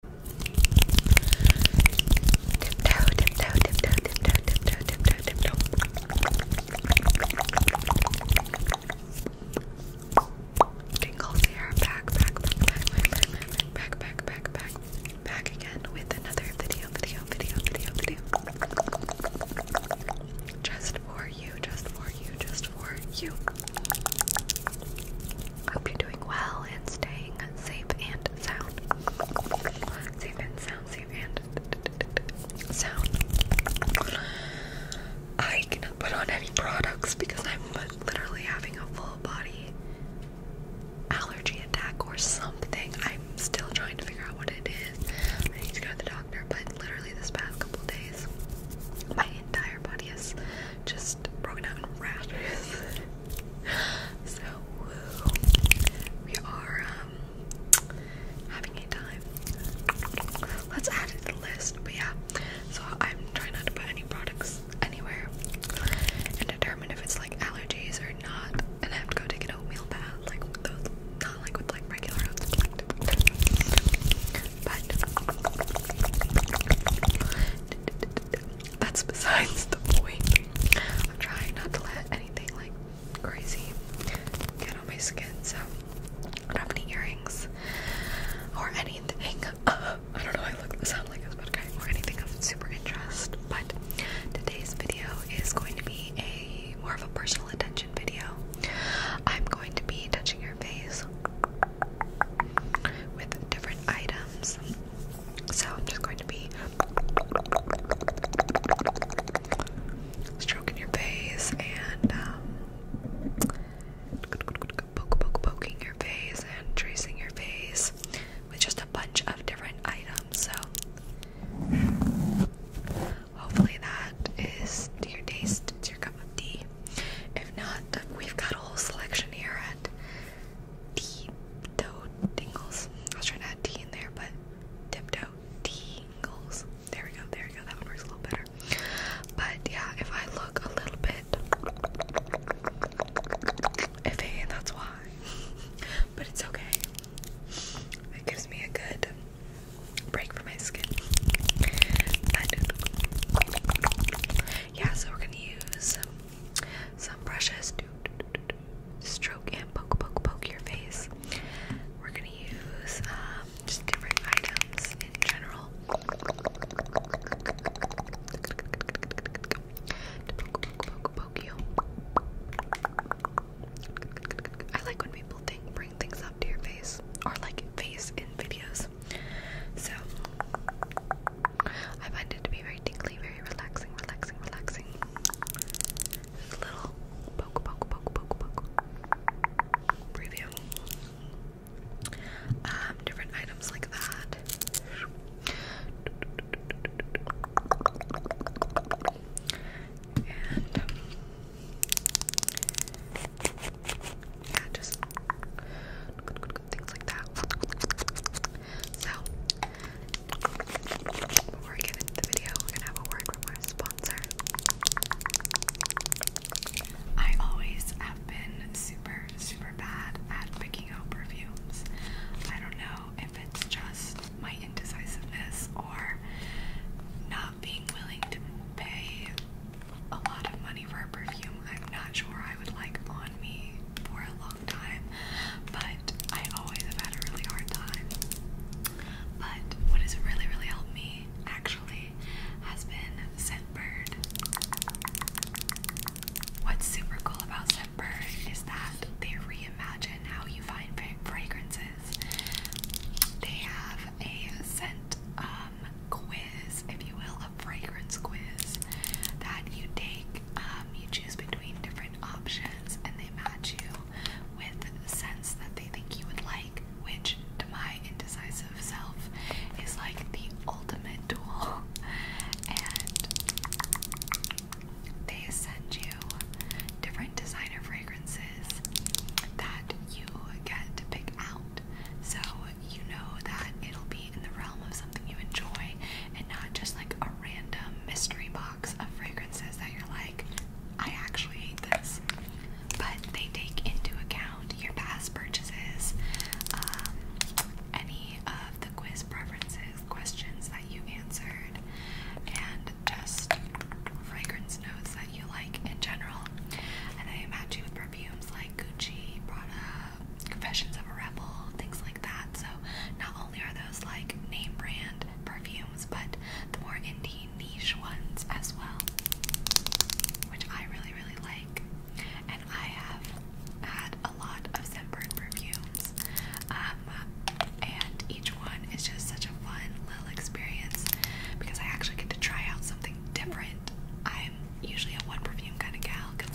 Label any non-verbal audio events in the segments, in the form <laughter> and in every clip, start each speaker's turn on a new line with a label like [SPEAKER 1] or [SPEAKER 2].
[SPEAKER 1] Tiptoe, here. back, back, back, back, back, back, back, back, back, back again with another video, video, video, video, video. Just for you, just for you, just for you. Hope you're doing well and staying safe and sound. Safe and sound, safe and sound. I cannot put on any products because I'm literally having a full body allergy attack or something. I'm still trying to figure out what it is. I need to go to the doctor, but literally this past couple days, my entire body is just broken out in rashes. So We are um having a time. Let's add it to the list. But yeah. So I'm trying not to put any products anywhere and determine if it's like allergies or not. And have to go take an oatmeal bath, like with those not like with like regular oats, but that's besides the point. I'm trying not to let anything like crazy get on my skin, so I don't have any earrings or anything. <laughs> I don't know. I look sound like this, but okay, or anything of super interest. But today's video is going to be a more of a personal attention video. I'm going to be touching your face with different items. So I'm just going to be stroking your face and um, poking your face and tracing your face with just a bunch of different items. So hopefully that is to your taste, it's your cup of tea. If not, we've got a whole selection here at tiptoe tingles. I was trying to add T in there, but tiptoe tingles. There we go, there we go. That one works a little better. But yeah, if I look a little bit iffy, that's why. <laughs> but it's okay. It gives me a good break for my skin. But yeah, so we're gonna use some brushes do, do, do, do stroke and poke, poke, poke your face. We're gonna use um, just different items in general to poke, poke, poke, poke you. I like when people think bring things up to your face or like face in videos. So I find it to be very tingly, very relaxing, relaxing, relaxing. little poke, poke, poke, poke, poke. Preview. Um, different items like that. And yeah, just things like that. So, before we get into the video, we're gonna have a word from our sponsor. I always have been super, super bad at picking out perfumes. I don't know if it's just my indecisiveness or not being willing to pay a lot of money for a perfume I'm not sure I would like on me for a long time, but I always have had a really hard time. But what has really, really helped me actually has been Scentbird. What's super cool about Scentbird is that they reimagine how you find fragrances. They have a scent um, um, quiz, if you will, a fragrance quiz that you take. Um, you choose between different options and they match you with a sense that they think you would like, which to my indecisive self is like the ultimate duel. <laughs> And they send you different designer fragrances that you get to pick out. So you know that it'll be in the realm of something you enjoy and not just like a random mystery box of fragrances that you're like, I actually hate this. But they take into account your past purchases, um,
[SPEAKER 2] any of the quiz preferences, questions that you answered, and just fragrance
[SPEAKER 1] notes that you like in general. And they match you with perfumes like Gucci, Prada, Confessions of a Rebel, things like that. So not only are those like name brand perfumes, but the more indie niche ones as well, which I really really like. And I have had a lot of scentbird perfumes, um, and each one is just such a fun little experience because I actually get to try out something different. I'm usually a one perfume kind of gal because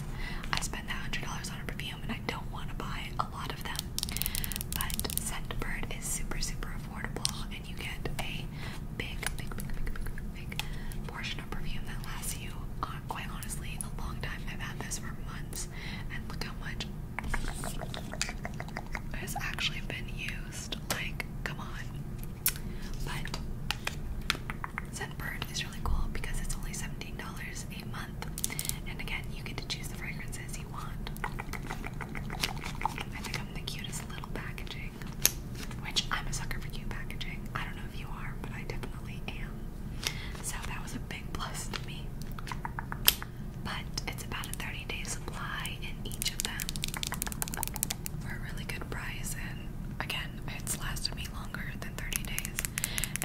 [SPEAKER 1] I spend that hundred dollars on a perfume and I don't want to buy a lot of them. But Scentbird is super super affordable and you get a big big big big big big portion of perfume that lasts you on uh, quite honestly a long time. I've had this for months and look how much has actually been used. Like, come on. But Scentbird is really cool because it's only $17 a month. And again, you get to choose the fragrances you want. I think I'm the cutest little packaging. Which I'm a sucker for cute packaging. I don't know if you are, but I definitely am. So that was a big plus to me. But it's about a 30 day supply in each of them for a really good price and again it's lasted me longer than 30 days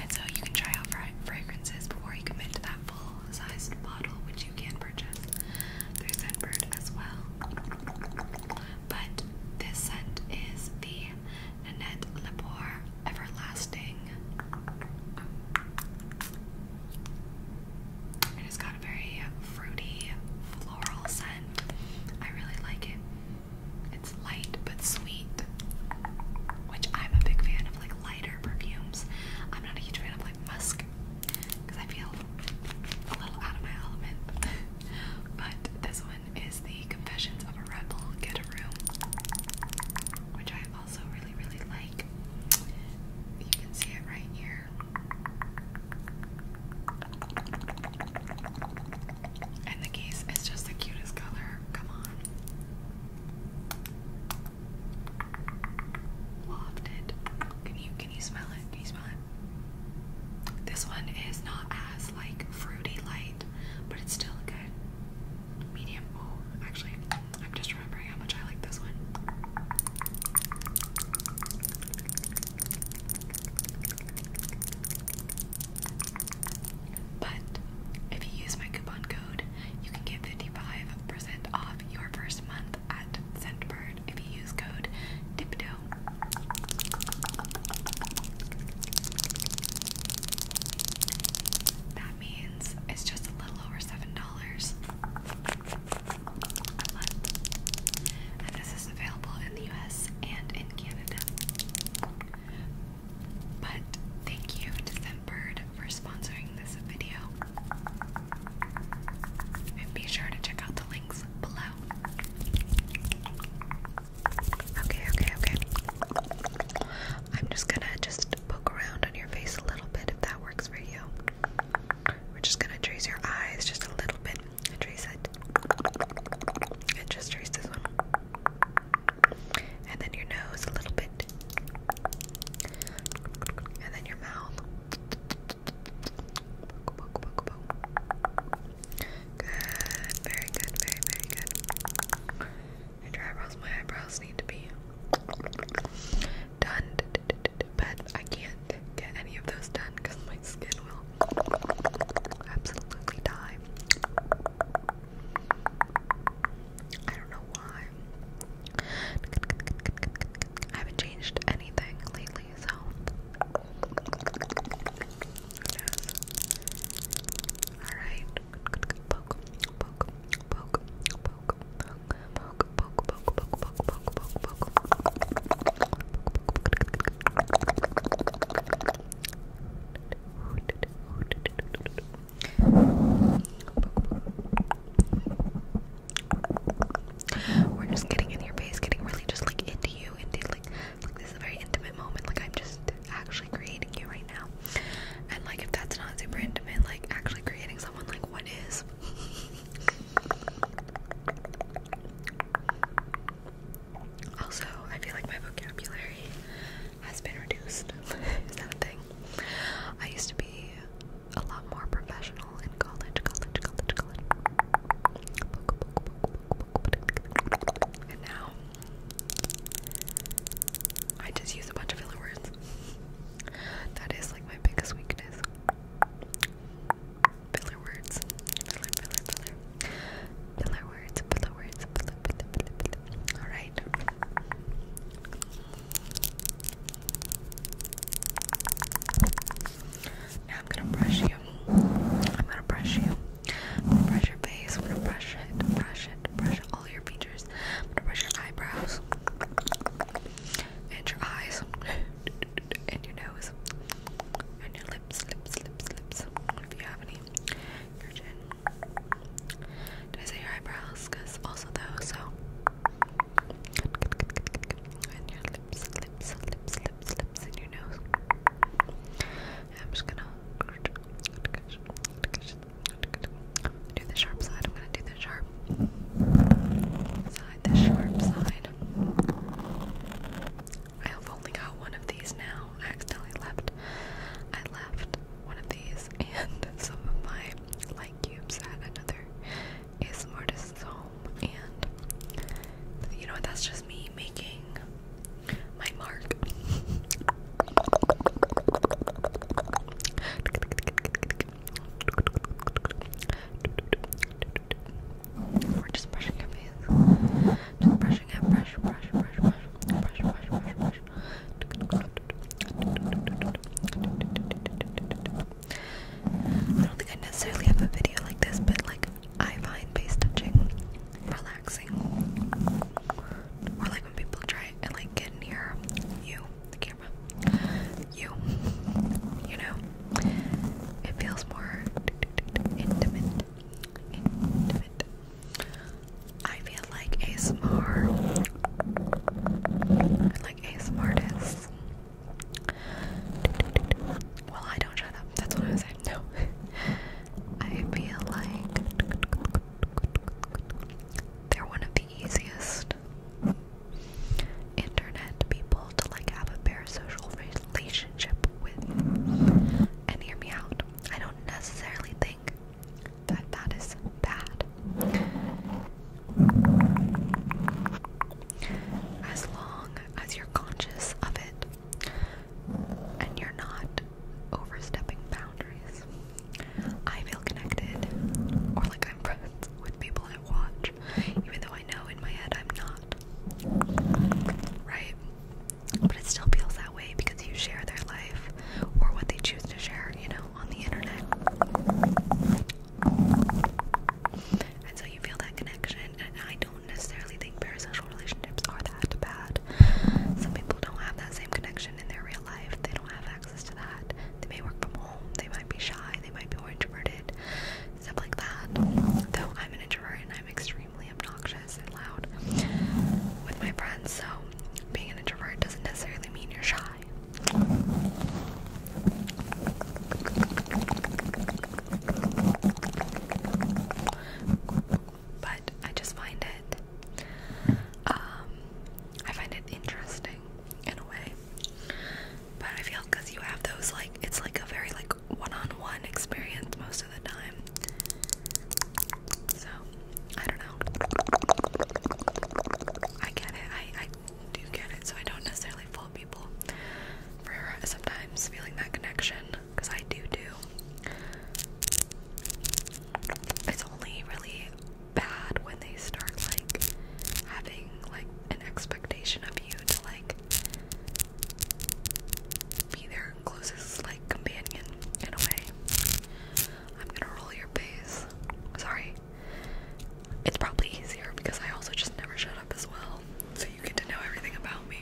[SPEAKER 1] and so you can try out fragrances before you commit to that full sized bottle which you can purchase through Scentbird as well but this scent is the Nanette Lepore Everlasting it has got a very fruity floral scent I really like it it's light but sweet, which I'm a big fan of like lighter perfumes. I'm not a huge fan of like musk because I feel a little out of my element. <laughs> but this one is the Confessions of a Rebel Get a Room, which I also really, really like. You can see it right here. And the case is just the cutest color. Come on. Loved it. Can you can you smell it? Can you smell it? This one is not as like fruity light, but it's still good. Medium. Oh, actually, I'm just remembering how much I like this one. But if you use my coupon code, you can get 55% off your first month at Scentbird if you use code TIPTO. That means it's just a little over $7 And this is available in the US and in Canada. But thank you to for sponsoring this video. And be sure to check out the links below. Okay, okay, okay. I'm just gonna just poke around on your face a little bit if that works for you. We're just gonna trace your eyes just a little bit. I trace it. And just trace this one. And then your nose a little bit. And then your mouth. Good, very good, very, very good. your eyebrows, my eyebrows need to be done, but I can't get any of those done because skin will absolutely die. I don't know why. I haven't changed anything lately, so. Alright. We're just getting in your face, getting really just like into you, into like, like this is a very intimate moment. Like I'm just actually creating you right now, and like if that's not super intimate, like actually creating someone, like what is? <laughs> Also, I feel like my vocabulary has been reduced. <laughs> Is that a thing? I used to be a lot more professional in college, college, college, college. And now I just use a bunch of filler words. That is like my biggest weakness filler words. Filler, filler, filler. Filler words, filler words, filler, filler, filler, filler. Alright. Now I'm gonna brush you. I'm gonna brush you. I'm gonna brush your face. I'm gonna brush it, brush it, brush all your features. I'm gonna brush your eyebrows and your eyes <laughs> and your nose and your lips lips, lips, lips, lips. If you have any, your chin. Did I say your eyebrows? Cause also those. So. And your lips, lips, lips, lips, lips, and your nose. And I'm just gonna do the sharp side. I'm gonna do the sharp side, the sharp side. I've only got one of these now. accidentally left. I left one of these <laughs> and some of my light cubes at another ASMR artist's home. And you know what? That's just me making my mark. <laughs> We're just brushing your face. Just brushing it. Brush, brush, brush, brush, brush, brush, brush, brush. I don't think I necessarily have a video like this, but like I find face touching relaxing. Or like when people try and like get near you, the camera, you, you know. It feels more intimate. I feel like ASMR, like ASMR is. Well, I don't shut up. That's what I was saying. No, <laughs> I feel like they're one of the easiest internet people to like have a bare social relationship with. And hear me out. I don't necessarily think that that is bad. As long as you're conscious of it and you're not overstepping boundaries. I feel connected or like I'm friends with people I even though I know in my head I'm not. Right? But it still feels that way because you share their life or what they choose to share, you know, on the internet. And so you feel that connection, and I don't necessarily think parasocial relationships are that bad. Some people don't have that same connection in their real life, they don't have access to that. They may work from home, they might be shy, they might be more introverted, stuff like that. Though I'm an introvert and I'm extremely obnoxious and loud with my friends, so being an introvert doesn't necessarily mean you're shy. But I just find it, um, I find it interesting in a way. But I feel because you have those like, it's like a very like one-on-one -on -one experience most of the time. So I don't know. I get it. I I do get it. So I don't necessarily fault people for sometimes feeling that connection because I do do. It's only really bad when they start like having like an expectation of you to like be their closest like companion in a way. I'm gonna roll your face. Sorry. It's probably easier because I also just never shut up as well. So you get to know everything about me.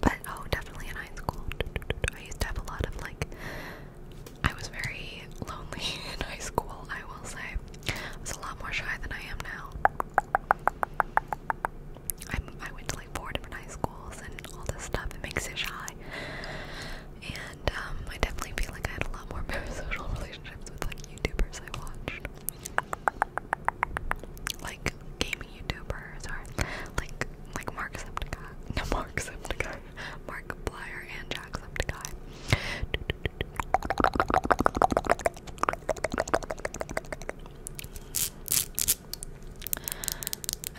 [SPEAKER 1] But oh, definitely in high school. I used to have a lot of like I was very lonely <laughs> in high school, I will say. I was a lot more shy than I am now. i went to like four different high schools and all this stuff that makes you shy. And um, I definitely feel like I had a lot more <laughs> social relationships with like YouTubers I watched. Like gaming YouTubers or like like Mark Septica. No <laughs> Mark Septica. Mark Plier and Jacksepticeye. And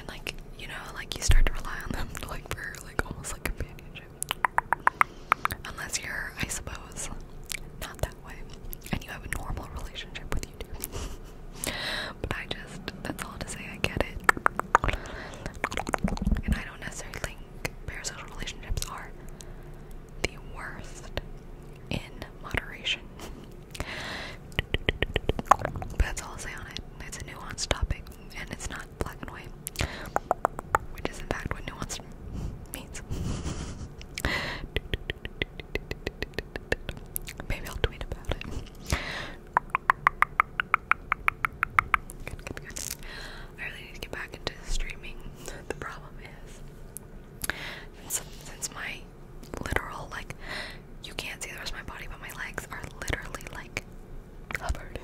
[SPEAKER 1] like, you know, like you start to rely on them <laughs> like for like almost like companionship. Unless you're, I suppose, not that way. And you have a normal relationship with YouTube. <laughs> but I just that's all to say I get it. And I don't necessarily parasocial relationships are the worst in moderation. <laughs> that's all I'll say on it. It's a nuanced topic, and it's not black and white, which is in fact what nuance means. <laughs> Maybe I'll tweet about it. I really need to get back into streaming. <laughs> the problem is, since, my literal, like, you can't see the my body, but my legs are literally like covered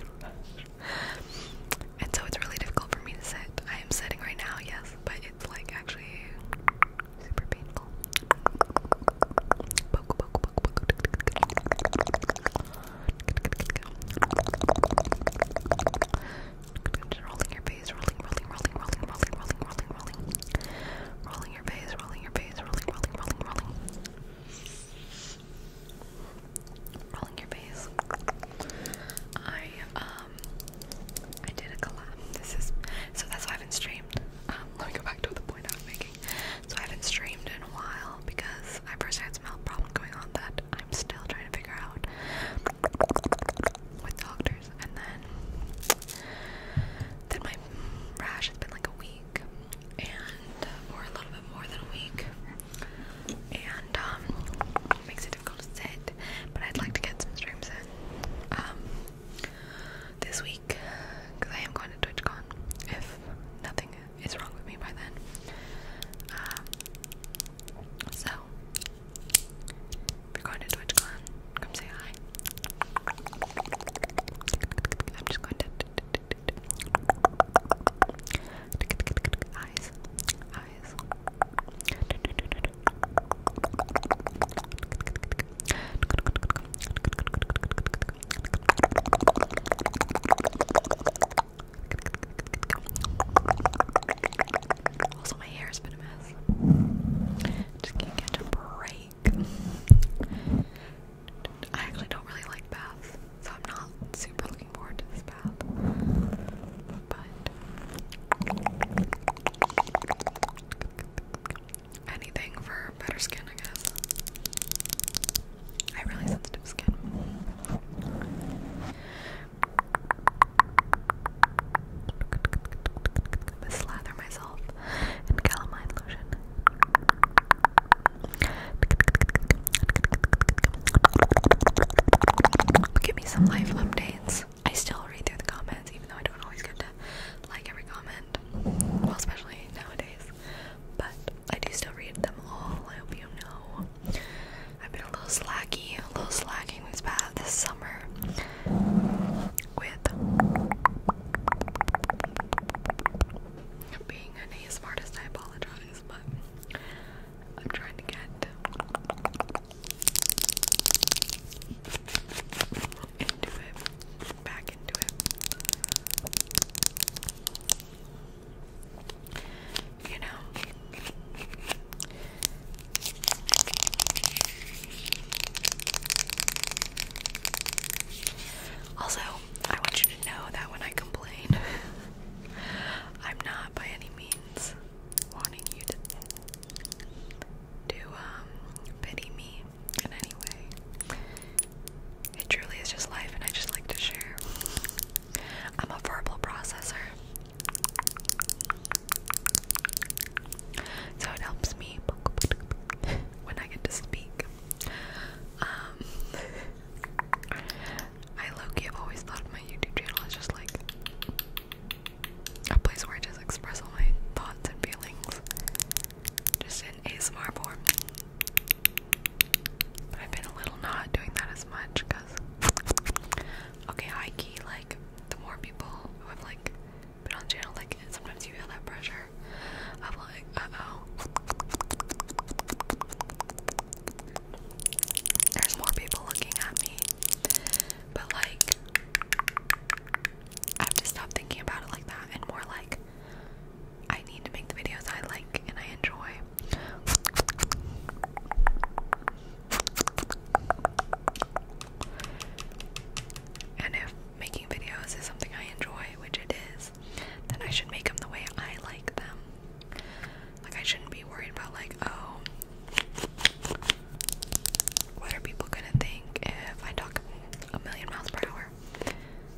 [SPEAKER 1] And so it's really difficult for me to sit. I am sitting right now, yes, but it's like actually super painful rolling your face, rolling, rolling, rolling, rolling, rolling, rolling, rolling, rolling. Rolling your face, rolling your face, rolling, rolling, rolling, rolling. Rolling your face. I um I did a collab. This is so that's why I haven't streamed. Um, let me go back to the point I was making. So I haven't streamed in a while because I personally had some health problem going on that I'm still trying to figure out with doctors. And then, then my rash has been like a week, and uh, a little bit more than a week, and um, makes it difficult to sit. But I'd like to get some streams in um, this week because I am going to TwitchCon if nothing it's wrong with me by then. Um, so, if you're going to TwitchCon, come say hi. I'm just going to eyes, eyes. Also, my hair has been a mess. Just can't catch a break. I actually don't really like baths, so I'm not super looking forward to this bath. But anything for better skin, I guess. I have really sensitive skin. I slather myself in calamine lotion. Give me some life updates. I still read through the comments, even though I don't always get to like every comment. Well, especially nowadays. But I do still read them all. I hope you know. I've been a little slacky, a little slacking this past this summer with being a ASMR artist. I apologize, but I'm trying to get into it, back into it. You know? Also, I want you to know that when I complain, <laughs> I'm not by any means wanting you to to um pity me in any way. It truly is just life and I just like to share. I'm a verbal processor. So it helps me <laughs> when I get to speak. Um, <laughs> I low have always thought my YouTube channel as just like a place where I just express all my thoughts and feelings, just in ASMR form. But I've been a little not doing that as much because, okay, like, the more people who have, like, been on channel, like, sometimes you feel that pressure of, like, oh. There's more people looking at me. But, like, I have stop thinking about it like that and more, like, I need to make the videos I like and I enjoy. And if making videos is something I enjoy, which it is, then I should make them the way I like them. Like, I shouldn't be worried about, like, oh, what are people gonna think if I talk a million miles per hour?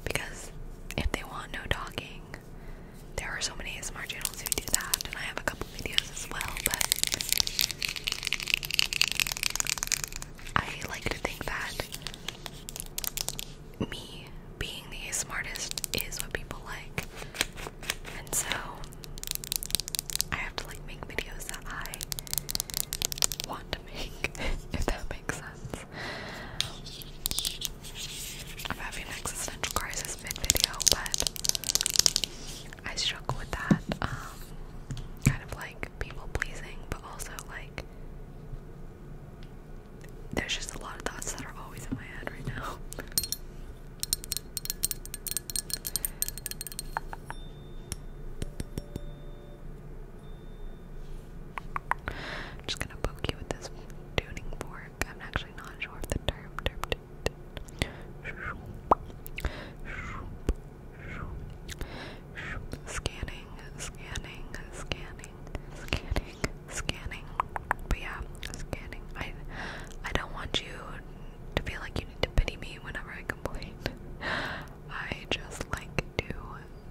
[SPEAKER 1] Because if they want no talking, there are so many smart channels who do that, and I have a couple videos as well, but I like to think that me being the smartest is what people like. And so I have to like make videos that I want to make, <laughs> if that make sense. I'm having existential crisis mid-video, but I struggle with that. Um, kind of like people pleasing, but also like there's just a lot of thoughts that are always in my head right now. I'm just gonna poke you with this tuning fork. I'm actually not sure if the term term. Scanning, scanning, scanning, scanning, scanning. But yeah, scanning. I I don't want you to feel like you need to pity me whenever I complain. <laughs> I just like to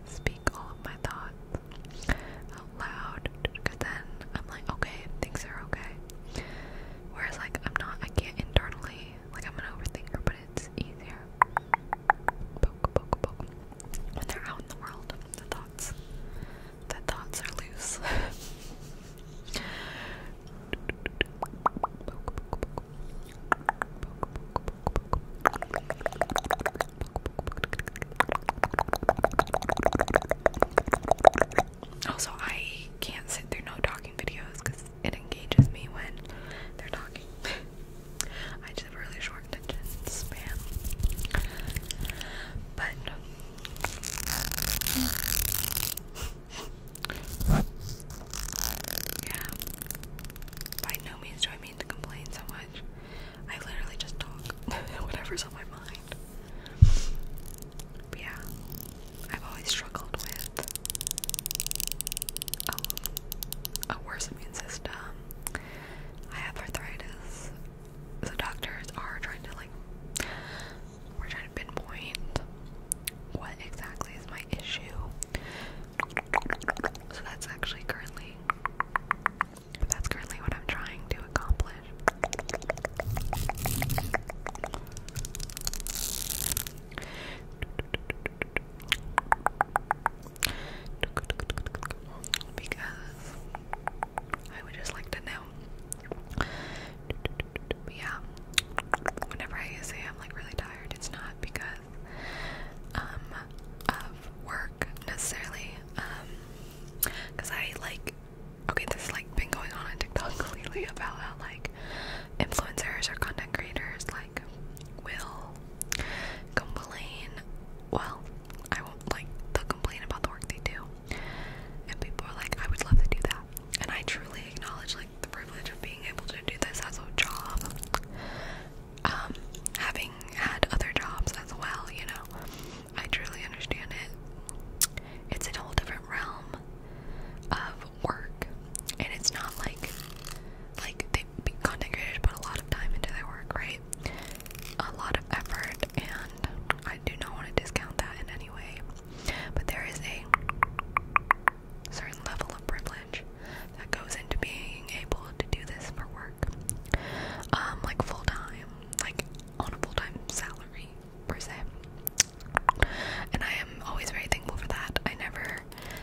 [SPEAKER 1] speak all of my thoughts out loud because then I'm like, okay, things are okay. Whereas, like, I'm not, I can't internally, like, I'm an overthinker, but it's easier. When they're out in the world, the thoughts, the thoughts are loose. <laughs> Also, I can't sit through no talking videos because it engages me when they're talking. <laughs> I have really short attention span. But <laughs> yeah, by no means do I mean to complain so much. I literally just talk <laughs> whatever's on my mind. yeah, I've always struggled with um, a worse immune system. I have arthritis. The doctors are trying to like we're trying to pinpoint what exactly is my issue. So that's actually currently that's currently what I'm trying to accomplish. Because I would just like to know. yeah, whenever I say I'm like really tired, it's not because um, work necessarily, because um, I like. Okay, this has like been going on on TikTok <laughs> lately about how like influencers or content creators like will complain. Well, I won't like they'll complain about the work they do, and people are like, I would love to do that, and I truly acknowledge like the privilege of being able to do this as a job um, having had other jobs as well, you know, I truly understand it. It's a whole different realm of work, and it's not like like they content creators put a lot of time into their work, right? A lot of effort, and I do not want to discount that in any way. But there is a certain level of privilege that goes into being able to do this for work work, um, like full time, like on a full time salary per se. And I am always very thankful for that. I never.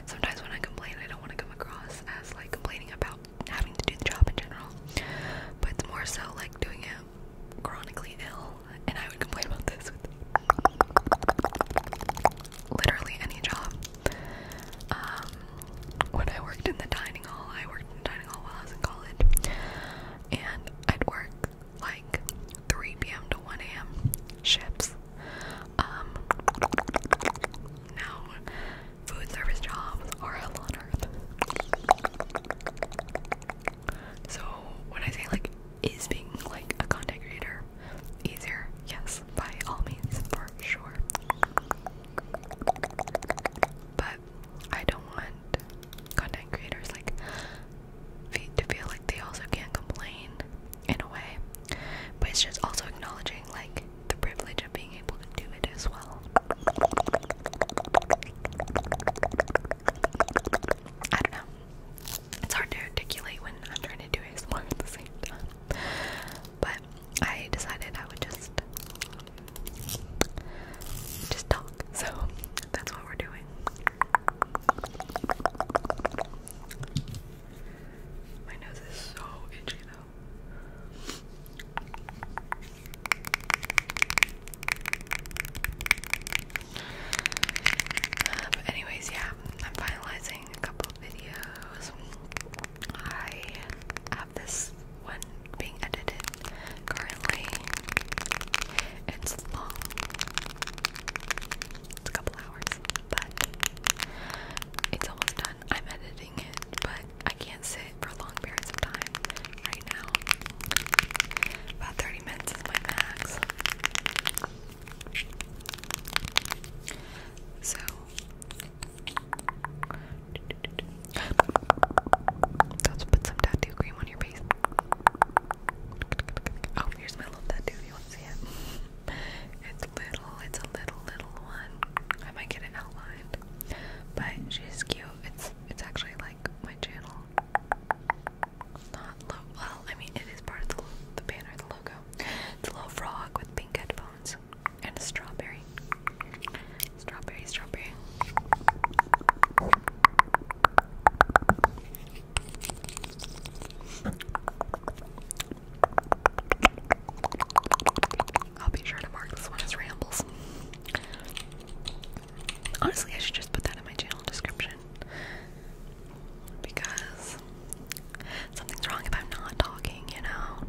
[SPEAKER 1] Sometimes when I complain, I don't want to come across as like complaining about having to do the job in general, but it's more so like doing it chronically ill. And I would complain about this with literally any job. Um, when I worked in the dining hall, I worked in the dining hall while I was in college, and I'd work like 3 p.m. to 1 a.m. shifts. Um, now food service jobs are hell on earth. So when I say like is being like a content creator easier? Yes, by all means, for sure. But I don't want content creators like to feel like they also can't complain in a way. But it's just also acknowledging like the privilege of being able to do it as well. I don't know. It's hard to articulate when I'm trying to do ASMR at the same time but I decided I would just just talk. So that's what we're doing. My nose is so itchy though. Uh, anyways, yeah, I'm finalizing a couple videos. I have this one being edited currently. It's long. It's a couple hours, but it's almost done. I'm editing it, but I can't sit for long periods of time right now. About 30 minutes is my max. So Let's put some tattoo cream on your face. Oh, here's my little tattoo. You want to see it? It's little. It's a little, little one. I might get it outlined, but she's cute. It's it's actually like my channel. Not Well, I mean, it is part of the, the banner, the logo. It's a little frog with pink headphones and a strawberry. Strawberry, strawberry.
[SPEAKER 2] I'll be sure to mark this one as rambles. Honestly,
[SPEAKER 1] I should just put that in my channel description because Something's wrong if I'm not talking, you know.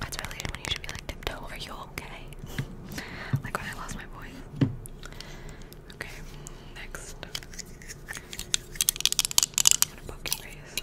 [SPEAKER 1] That's really when you should be like tiptoe. Are you okay? like when I lost my voice.
[SPEAKER 2] Okay, next. I'm your face.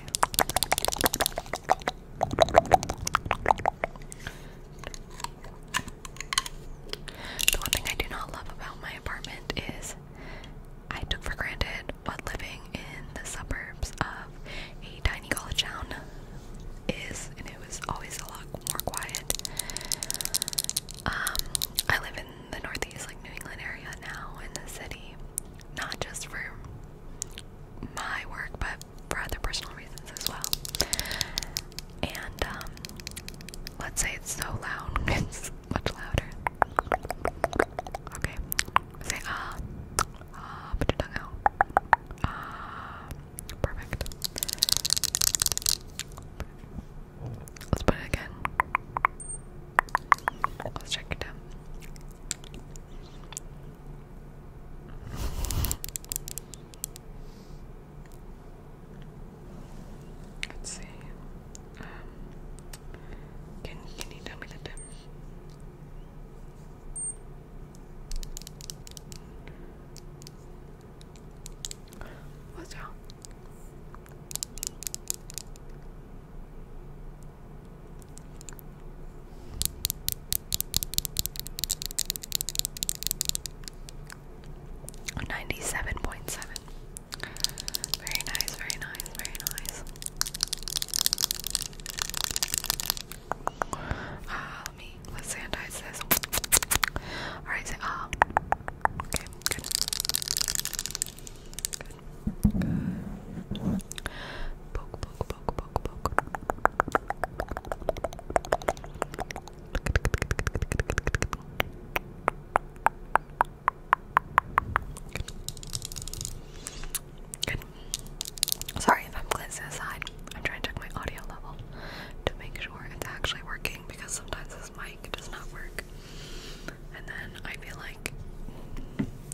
[SPEAKER 1] The one thing I do not love about my apartment is I took for granted what living in the suburbs of a tiny college town is, and it was always a lot more quiet. Um, I live in the northeast, like New England area now, in the city, not just for my work, but for other personal reasons as well. And um, let's say it's so loud, <laughs> it's much louder. Okay, say ah, ah, put your tongue out. Ah, perfect. Let's put it again. Let's check it out. Let's see. Um, can can you tell me the time? What's wrong? Ninety-seven point seven. Very nice, very nice, very nice. Ah, let me let's sanitize this. Alright, ah. okay, Good, Sorry if I'm glancing aside. I'm trying to check my audio level to make sure it's actually working because sometimes this mic does not work. And then I feel like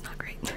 [SPEAKER 1] not great. <laughs>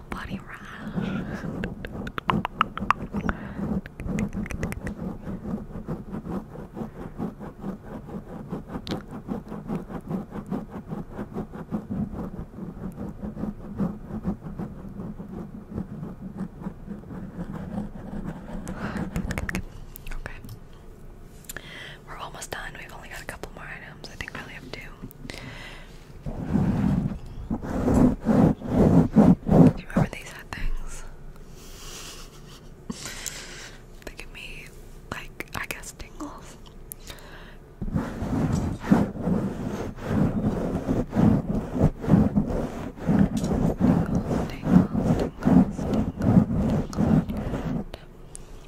[SPEAKER 2] full body okay. We're almost done. We've only got a couple more items. I think we only have two. Do you remember these had things? <laughs> they give me, like, I guess, tingles.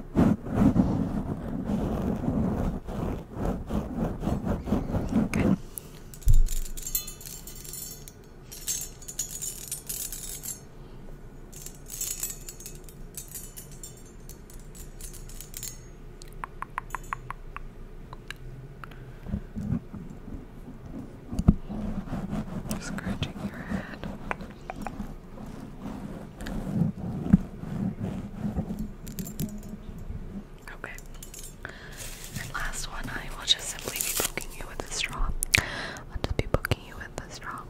[SPEAKER 2] Good. Scratching your head.
[SPEAKER 1] Okay. And last one, I will just simply be poking you with a straw. I'll just be poking you with a straw.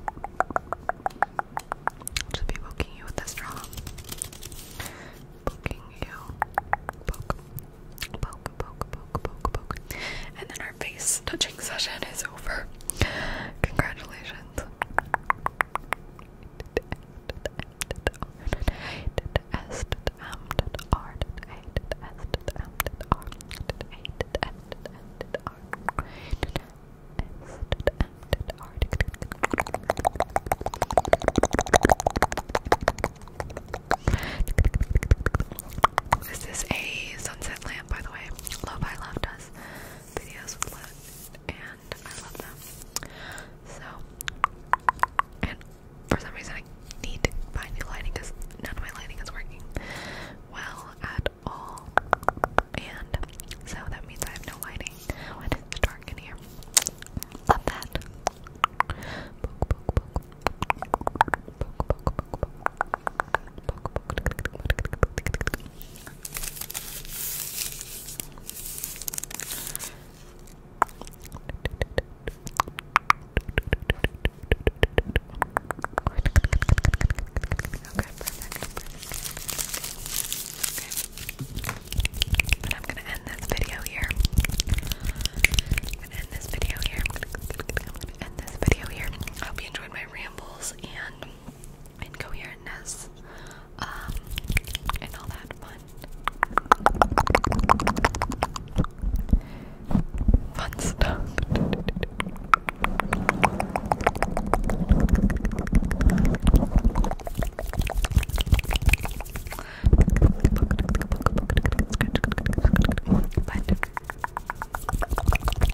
[SPEAKER 1] just be poking you with a straw. Poking you. Poke. Poke, poke, poke, poke, poke. And then our face touching session is over. Congratulations. This is a sunset lamp, by the way. Lo-fi left us videos and I love them. So, and for some reason, I need to buy new lighting because none of my lighting is working well at all. And so that means I have no lighting when it's dark in here. Love that. I'm gonna end this video here. end this video here. end this video here. I hope you enjoyed my rambles and incoherentness, um, and all that fun, fun stuff.